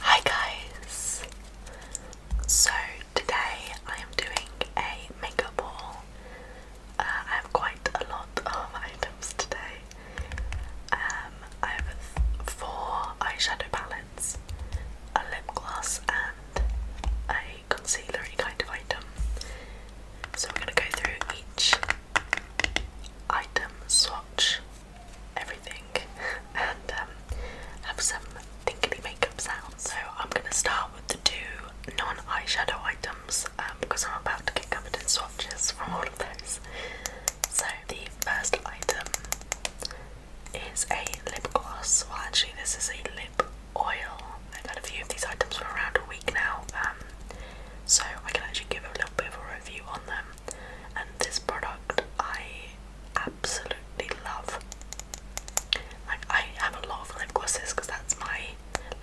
Hi guys! So today I am doing a makeup haul. Uh, I have quite a lot of items today. Um, I have four eyeshadow palettes, a lip gloss and a concealery kind of item. So I'm going to go through each item swatch everything and um, have some tinkly makeup sounds. So I'm gonna start with the two non-eyeshadow items um, because I'm about to get covered in swatches from all of those. So the first item is a lip gloss. Well, actually, this is a lip oil. I've had a few of these items for around a week now, um, so I can actually give a little bit of a review on them. And this product, I absolutely love. Like I have a lot of lip glosses because that's my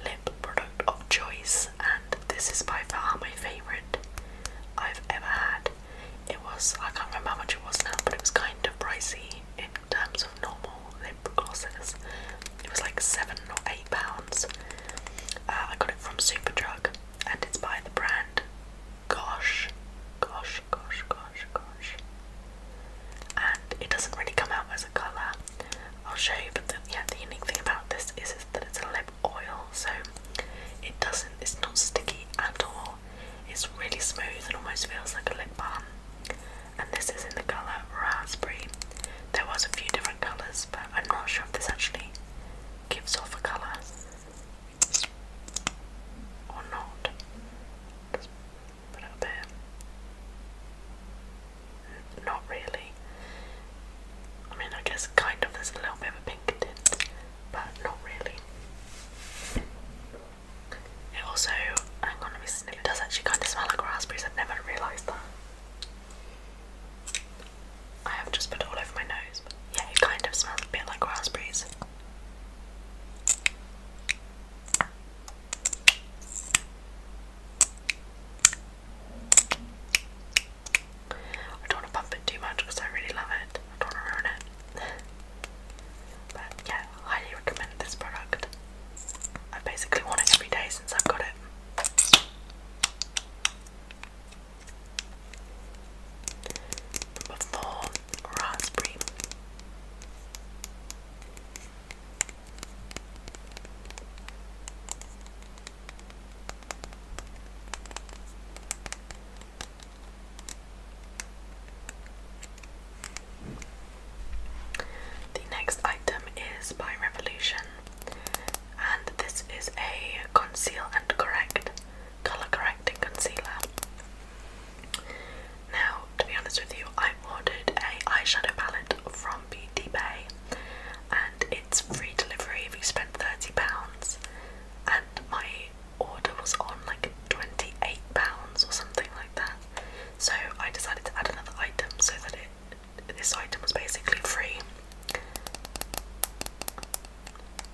lip product of choice and this is by far my favourite I've ever had. It was, I can't remember how much it was now, but it was kind of pricey in terms of normal lip glosses. It was like seven or eight pounds. Uh, I got it from Superdrug and it's by the brand gosh, gosh, gosh, gosh, gosh. And it doesn't really come out as a colour. I'll show you, but yeah, the unique thing about this is that it's a lip oil, so it doesn't, it's not sticky at all. It's really smooth and almost feels like a lip balm. And this is in the colour raspberry. There was a few different colours, but I'm not sure if this actually gives off a colour or not. Just put it Not really. I mean, I guess kind of there's a little bit of a pink tint, but not really. It also, hang on, let me sniff. It does actually kind of smell like raspberries. I've never realised that. I have just put it all over my nose. yeah, it kind of smells a bit like raspberries. I don't want to pump it too much because I really love it. I don't want to ruin it. but yeah, highly recommend this product. I basically want it every day since I've got it. Number raspberry. The next item is by Revolution, and this is a conceal and correct colour correcting concealer. Now, to be honest with you, I ordered a eyeshadow palette from Beauty Bay, and it's free delivery if you spend thirty pounds. And my order was on like twenty-eight pounds or something like that. So I decided to add another item so that it this item was basically free.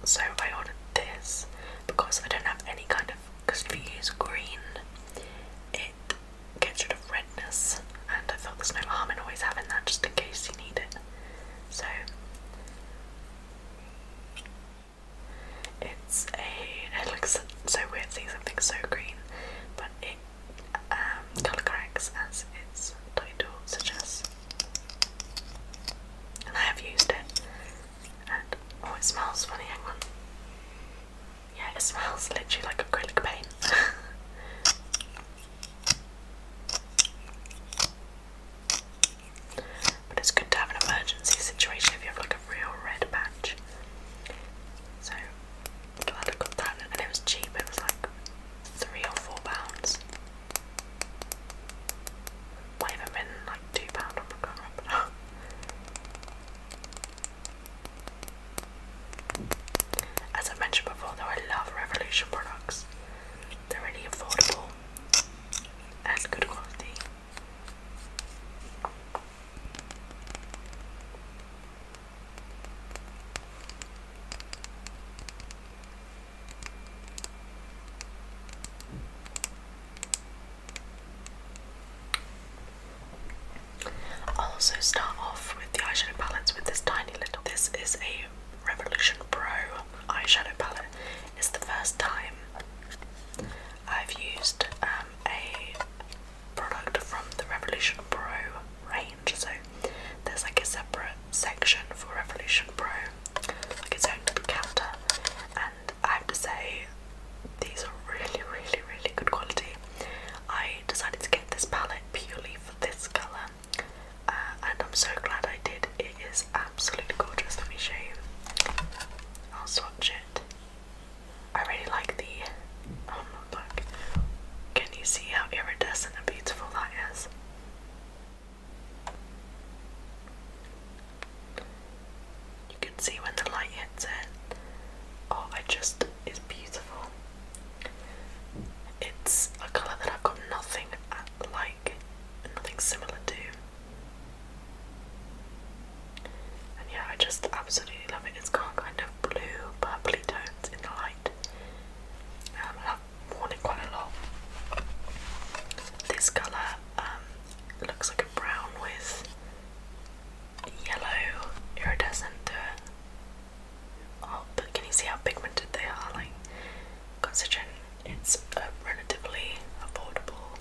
So I ordered this because I don't have any kind of. Because if you use green, it gets rid of redness, and I thought there's no harm in always having that just in case you need it. So it's a. It looks so weird seeing something so green, but it um, colour corrects as its title suggests. And I have used it. And oh, it smells funny. Yeah, it smells literally like acrylic paint. but it's good to have an emergency situation if you have like a real red patch. So glad I got that, and it was cheap. It was like three or four pounds. Might have been like two pound, I can't As I mentioned before, though, I love Revolution products. They're really affordable and good quality. I'll also start off with the eyeshadow palette with this tiny little. This is a Revolution Pro eyeshadow palette. It's the first time I've used um, a product from the Revolution Pro range, so there's like a separate section for Revolution Pro, like its own little counter, and I have to say, these are really, really, really good quality. I decided to get this palette purely for this colour, uh, and I'm so glad I did. It is absolutely gorgeous. Let me show you. I'll swatch it. I really like the. Oh Can you see how iridescent and beautiful that is? You can see when the light hits it. Oh, it just is beautiful. It's a colour that I've got nothing uh, like, nothing similar to. And yeah, I just absolutely love it. It's got kind of blue, purpley tones in the light. Um, worn it quite a lot. This colour um, looks like a brown with yellow iridescent to it. Oh, but can you see how pigmented they are? Like, considering it's relatively affordable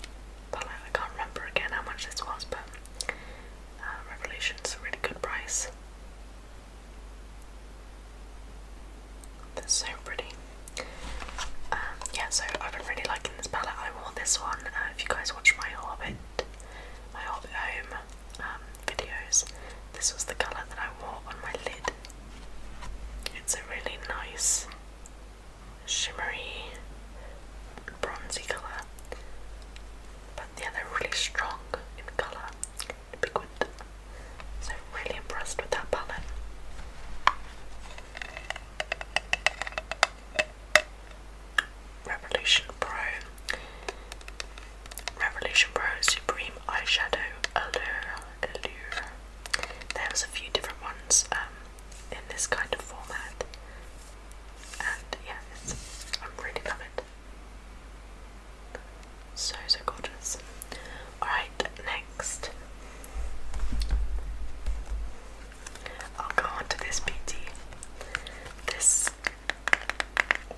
palette, I can't remember again how much this was, but uh, Revolution's a really good price. That's so pretty. Um, yeah, so I've been really liking this palette. I wore this one. Uh, if you guys watch my Hobbit, my Hobbit Home um, videos, this was the colour that I wore on my lid. It's a really nice, shimmery, bronzy colour. But yeah, they're really strong in colour the big one. So really impressed with that palette. Revolution Pro. Revolution Pro Supreme Eyeshadow Allure. Allure. There's a few different ones um, in this kind of format. And yeah, I'm really loving it. So, so gorgeous. Alright, next. I'll go on to this beauty. This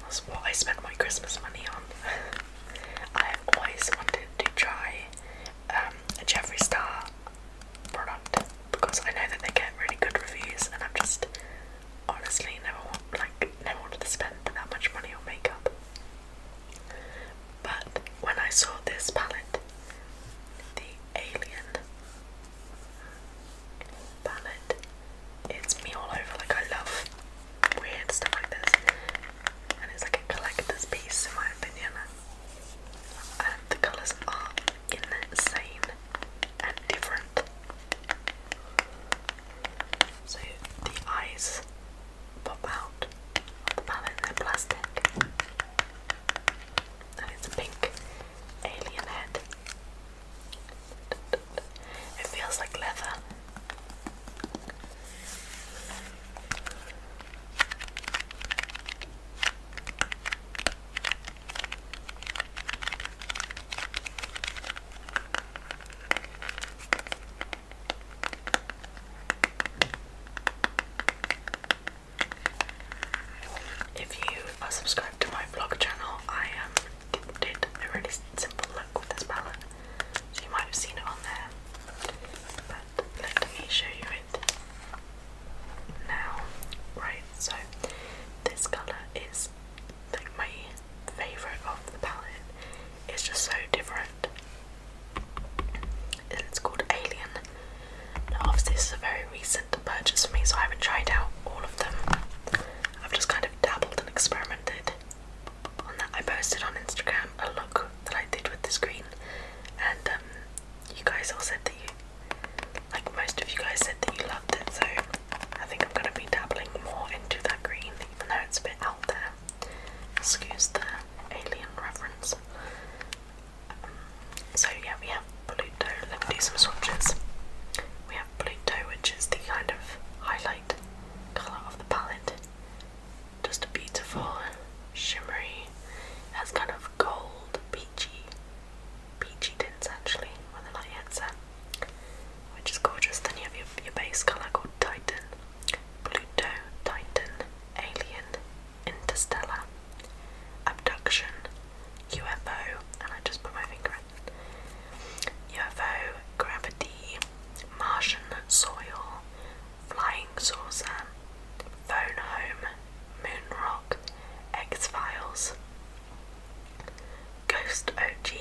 was what I spent my Christmas money on. I always wanted to try um, a Jeffree Star product because I know that they get really good reviews, and I'm just honestly never want, like never wanted to spend that much money on makeup. But when I saw this palette, the Alien palette, it's me all over. Like, I love weird stuff like this, and it's like a collector's piece, in my opinion. And the colours are insane and different so the eyes pop out of the palette, they're plastic. And it's a pink alien head. It feels like leather. If you are subscribed to my vlog channel, I did a really simple look with this palette, so you might have seen it on there. But let me show you it now. Right, so this colour is like my favorite of the palette. It's just so different, and it's called Alien. Now, obviously, this is a very recent purchase for me, so I haven't tried out all of them. I've just kind of dabbled and experimented on I posted on Instagram a look that I did with this green, and um, you guys all said that you, like most of you guys said that you loved it, so I think I'm gonna be dabbling more into that green even though it's a bit out there. Excuse the alien reference. Um, so yeah, we have Pluto. Let me do some swatches. We have Pluto, which is the kind of highlight colour of the palette. Just a beautiful, shimmery. It has kind of gold, peachy, peachy tints actually, when a light headset which is gorgeous. Then you have your, your base colour called Titan, Pluto, Titan, Alien, Interstellar, Abduction, UFO, and I just put my finger in. UFO, Gravity, Martian Soil, Flying Saucer, Phone Home, Moon Rock, X Files, Ghost OG,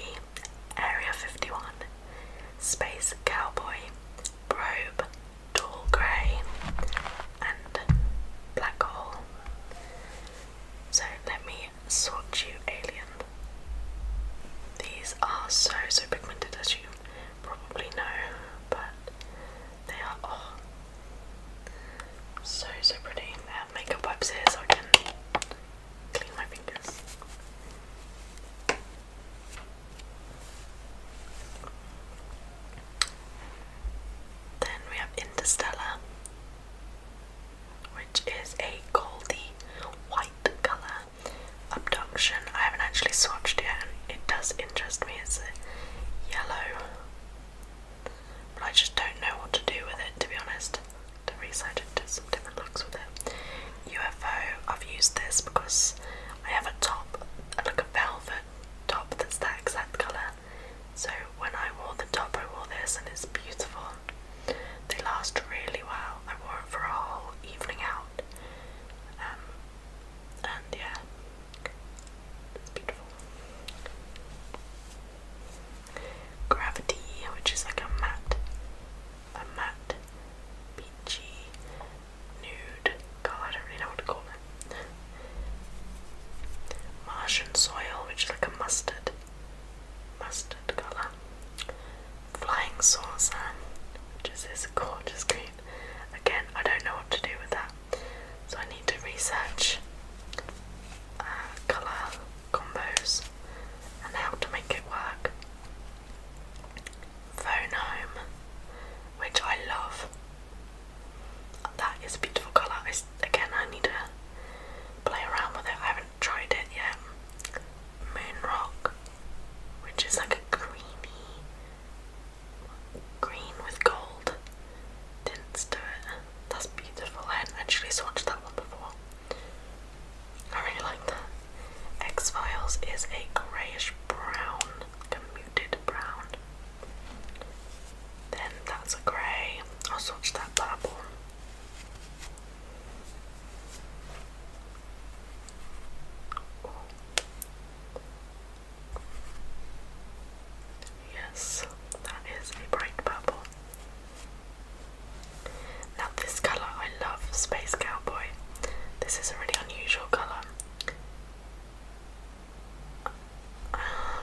Area 51, Space Cowboy, Probe, Tall Grey, and Black Hole. So let me sort you, Alien. These are so, so pigmented as you probably know, but they are oh, so, so pretty. makeup wipes I can clean my fingers. Then we have Interstellar, which is a goldy white colour abduction. I haven't actually swatched it yet, and it does interest me. It's yellow, but I just don't know what to do with it to be honest to research and some different looks with it. UFO, I've used this because I have a top, like a velvet top that's that exact colour. So when I wore the top, I wore this and it's beautiful. They last really well. I wore it for a whole evening out. Um, and yeah, it's beautiful. Gravity, which is like a matte, a matte, peachy, nude color. I don't really know what to call it. Martian soil, which is like a mustard, mustard color. Flying saucer, which this gorgeous green. Again, I don't know what to do with that, so I need to research uh, color combos and how to make it work. Phone home, which I love. That is a beautiful colour. again, I need to play around with it. I haven't tried it yet. Moonrock, which is like a creamy green with gold tints That's beautiful. I hadn't actually that one before. I really like that. X Files is a greyish brown, a muted brown. Then that's a grey. I'll swatch that purple. Yes, that is a bright purple. Now this colour I love, Space Cowboy. This is a really unusual colour.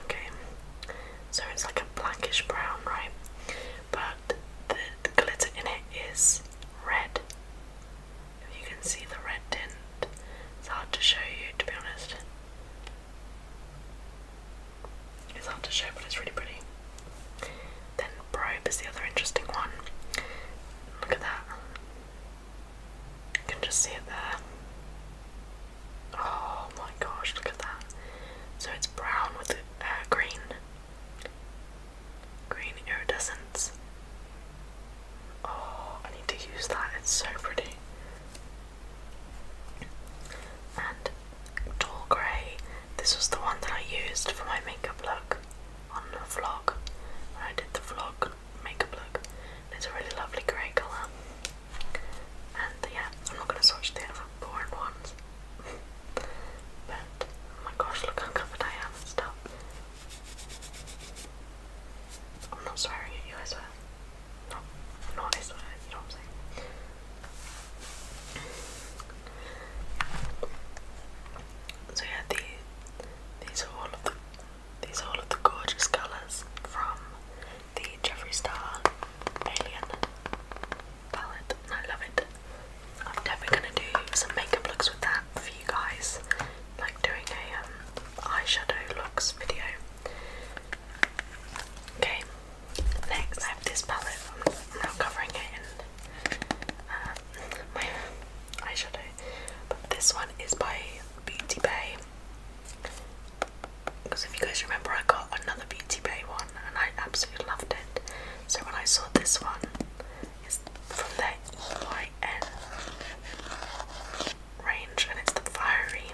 Okay, so it's like a blackish brown, right? But the glitter in it is red. If you can see the red tint, it's hard to show you to be honest. It's hard to show, but it's really pretty. Then Probe is the other interesting one. Look at that. You can just see it there. Oh my gosh, look at that. So it's brown with uh, green. Green iridescence. Oh, I need to use that, it's so pretty. And Tall Grey. This was the one that I used for my makeup look on the vlog I did the vlog makeup look. It's a really lovely grey colour. And yeah, I'm not going to swatch the other boring ones. but oh my gosh, look how covered I am and stuff. I'm not swearing at you, as well. No, no, I you know what I'm saying. So yeah, the, these are all of the these are all of the gorgeous colours from the Jeffree Star Alien palette, and I love it. I'm definitely gonna do some makeup looks with that for you guys, like doing a um, eyeshadow looks video. Okay, Next, I have this palette. I'm now covering it in um, my eyeshadow. But this one is by Beauty Bay. Because if you guys remember, I got another Beauty Bay one and I absolutely loved it. So when I saw this one, it's from their EYN range and it's the fiery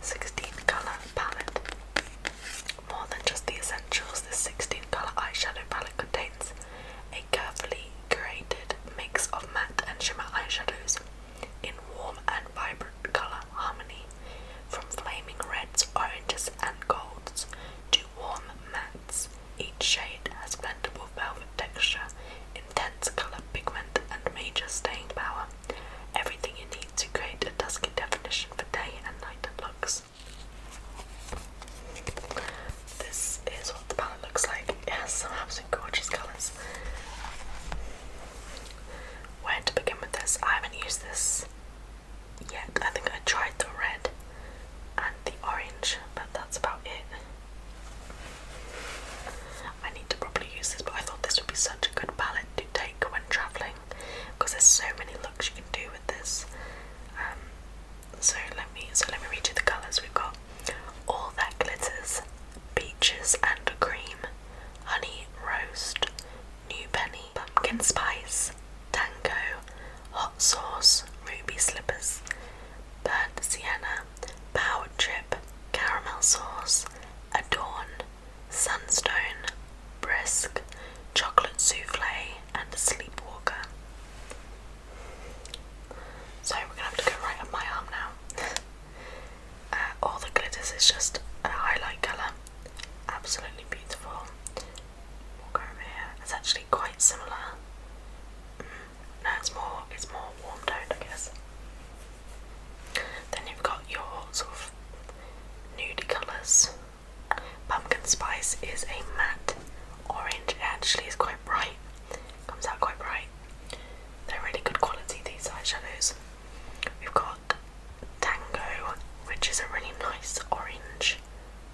16 colour palette. More than just the essentials, this 16 colour eyeshadow palette contains a carefully curated mix of matte and shimmer eyeshadows in warm and vibrant colour harmony, from flaming reds, oranges, and golds to warm mattes. Each shade has blendable velvet texture, intense colour pigment, and major staying power. Everything you need to create a dusky definition for day and night looks. This is what the palette looks like. It has some absolutely gorgeous colours. Where to begin with this? I haven't used this yet. I think I tried the red and the orange, but that's about it. I need to probably use this, but I thought this would be such a good palette to take when travelling because there's so many looks you can do with this. Um, so let me so let me read you the colours we've got. All that glitters, peaches and cream, honey roast, new penny, pumpkin spice, tango, hot sauce, ruby slippers, burnt sienna, powered trip, caramel sauce, adorned. Sunstone, Brisk, Chocolate Souffle, and Sleepwalker. So we're gonna have to go right up my arm now. Uh, all the glitters is just a highlight colour. Absolutely beautiful. Walk over here. It's actually quite similar. Mm, no, it's more it's more warm toned, I guess. Then you've got your sort of nude colours. Pumpkin Spice is a matte orange, it actually is quite bright, comes out quite bright. They're really good quality, these eyeshadows. We've got Tango, which is a really nice orange,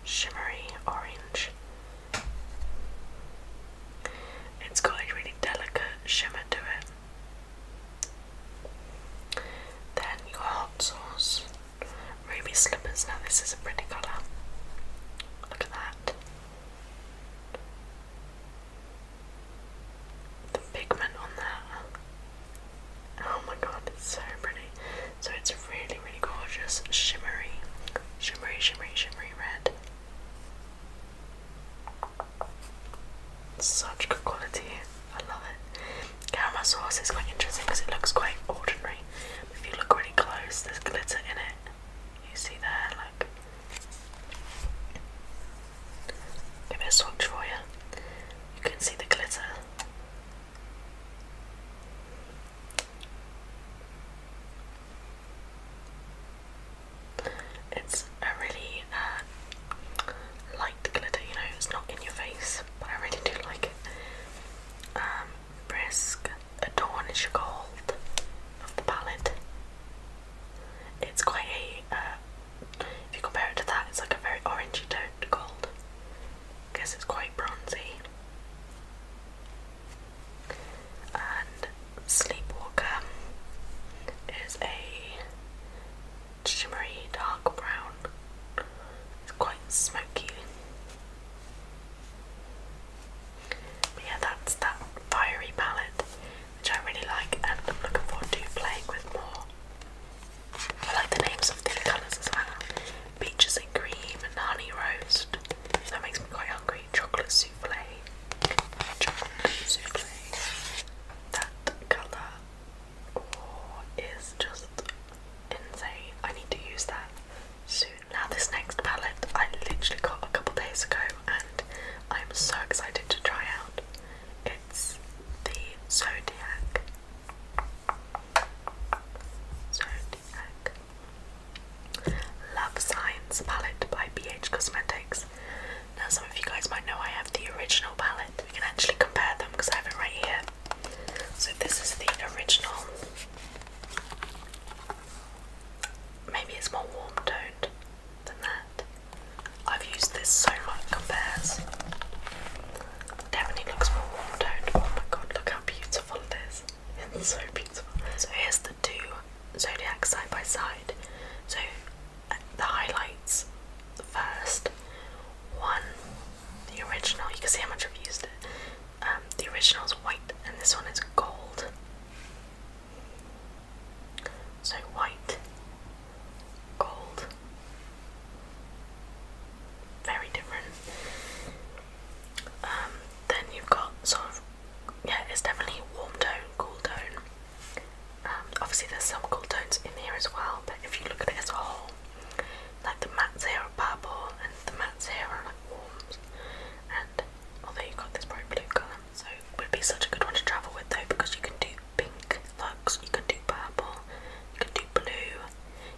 shimmery orange. It's got a really delicate shimmer to it. Then your hot sauce, ruby slippers. Now, this is a pretty colour. Look at that. The pigment on that. Oh my god, it's so pretty. So, it's really, really gorgeous. Shimmery, shimmery, shimmery, shimmery red. Such good quality. I love it. Caramel sauce is quite interesting because it looks quite ordinary. If you look really close, there's glitter in it. You see there, like. Give it a swatch for you. You can see the glitter. It's a really uh, light glitter, you know, it's not in your face, but I really do like it. Um, brisk Adornish Gold of the palette. It's quite a, uh, if you compare it to that, it's like a very orangey toned gold. I guess it's quite bronzy. And Sleepwalker is a shimmery dark brown. It's quite smoky. But yeah, that's that fiery palette, which I really like, and I'm looking forward to playing with more. I like the names of the colours as well. Peaches and cream and roast. That makes me quite hungry. Chocolate souffle. Chocolate souffle that colour is just insane. I need to use that soon. Now this next palette I literally got a couple days ago and I'm so excited to try out. It's the Zodiac. Zodiac. Love Signs palette by BH Cosmetics now some of you guys might know I have the original palette. We can actually compare them because I have it right here. So this is the original. Maybe it's more warm toned than that. I've used this so much compares. Definitely looks more warm toned. Oh my god, look how beautiful it is. It's so beautiful. So here's the two zodiacs side by side. So the highlights the first. One, the original, you can see how much I've used it. Um, the original is white and this one is gold. So white, gold, very different. Um, then you've got sort of, yeah, it's definitely warm tone, cool tone. Um, obviously, there's some cool tones in here as well, but if you look at it as a whole, like the mattes here are purple, and the mattes here are like warms, and although you got this bright blue colour, so it would be such a good one to travel with though because you can do pink looks, you can do purple, you can do blue,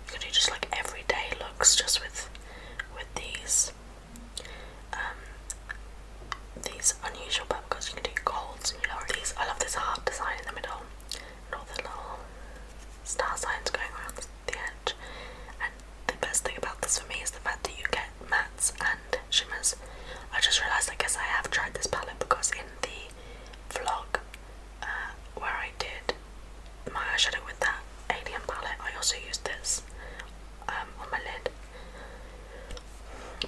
you can do just like everyday looks just with with these. Um, these unusual because you can do golds and yellow. These I love this heart design in the middle and all the little star signs going around the edge. And the best thing about this for me is the fact that you get mattes and shimmers. I just realised I guess I have tried this palette because in the vlog uh, where I did my eyeshadow with that alien palette I also used this um, on my lid.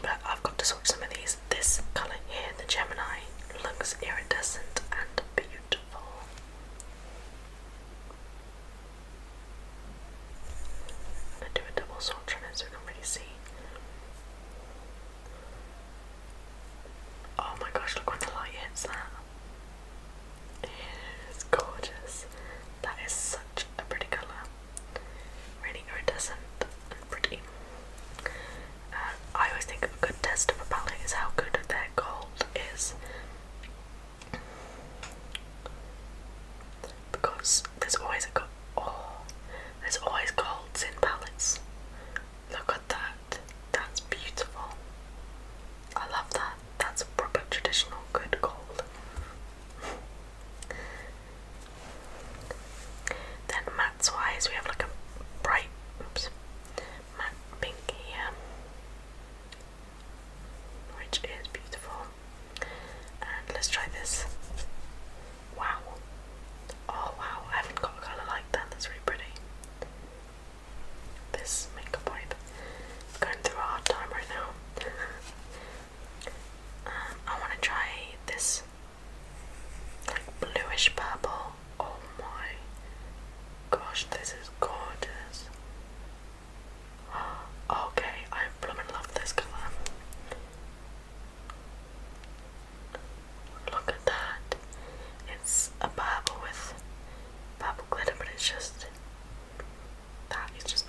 But I've got to sort some of these. This colour here, the Gemini, looks iridescent and beautiful. I'm going to do a double swatch on it so you can really see. Oh my gosh, look when the light hits that. It's gorgeous. That is such a pretty colour. Really iridescent and pretty. Uh, I always think a good test of a palette is how good their gold is. Because there's always a oh, there's always golds in palettes. Look at that. That's beautiful. I love that. That's proper traditional good gold. Then mattes wise, we have like a bright, oops, matte pink here, which is beautiful. And let's try this. Wow. Oh wow, I have got a colour like that, that's really pretty. This makeup wipe. Going through a hard time right now. Um, I want to try this like bluish purple. Oh my gosh, this is gorgeous. Okay, I blooming love this color. Look at that. It's a purple with purple glitter, but it's just that is just.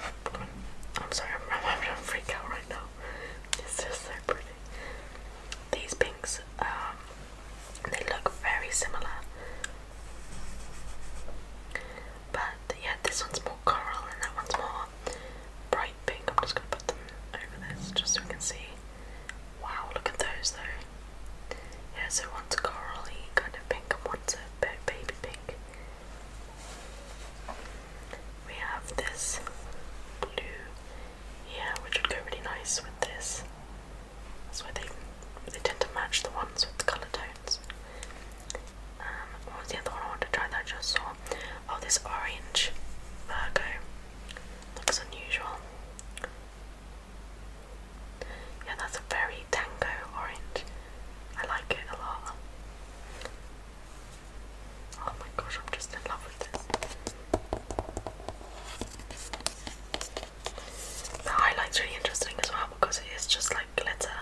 I'm sorry, I'm, gonna freak out right now. It's just so pretty. These pinks, um, they look very similar. But yeah, this one's more coral and that one's more bright pink. I'm just gonna put them over this just so we can see. Wow, look at those though. Yeah, so one's corally kind of pink and one's a baby pink. We have this blue here, which would go really nice with this. That's why they they tend to match the ones with colour tones. Um, what was the other one I wanted to try that just saw? Oh, this orange Virgo looks unusual. Yeah, that's a very tango orange. I like it a lot. Oh my gosh, I'm just in love with this. The highlight's really interesting as well because it is just like glitter.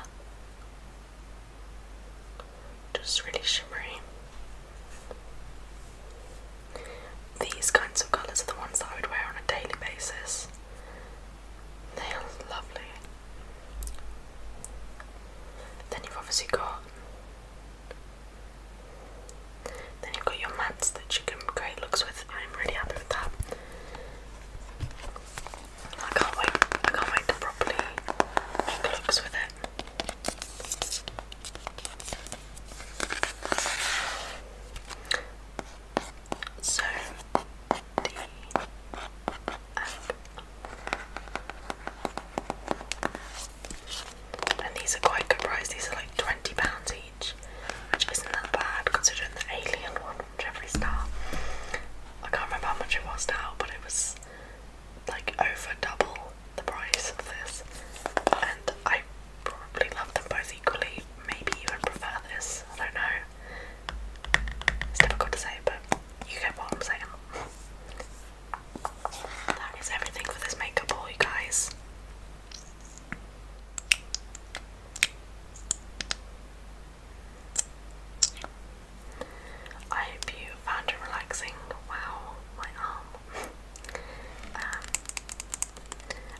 Just really shimmery. These kinds of colours are the ones that I would wear on a daily basis. They are lovely. Then you've obviously got then you've got your mats that you can create looks with. I'm really happy with that. I can't wait. I can't wait to properly make looks with it. So and these are quite good price, these are like £20 each, which isn't that bad considering the alien one from Jeffree Star. I can't remember how much it was now, but it was like over double the price of this. And I probably love them both equally, maybe even prefer this, I don't know. It's difficult to say, but you get what I'm saying. That is everything for this makeup haul, you guys. I hope you found it relaxing. Wow, my arm. Um,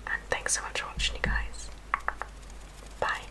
and thanks so much for watching, you guys. Bye.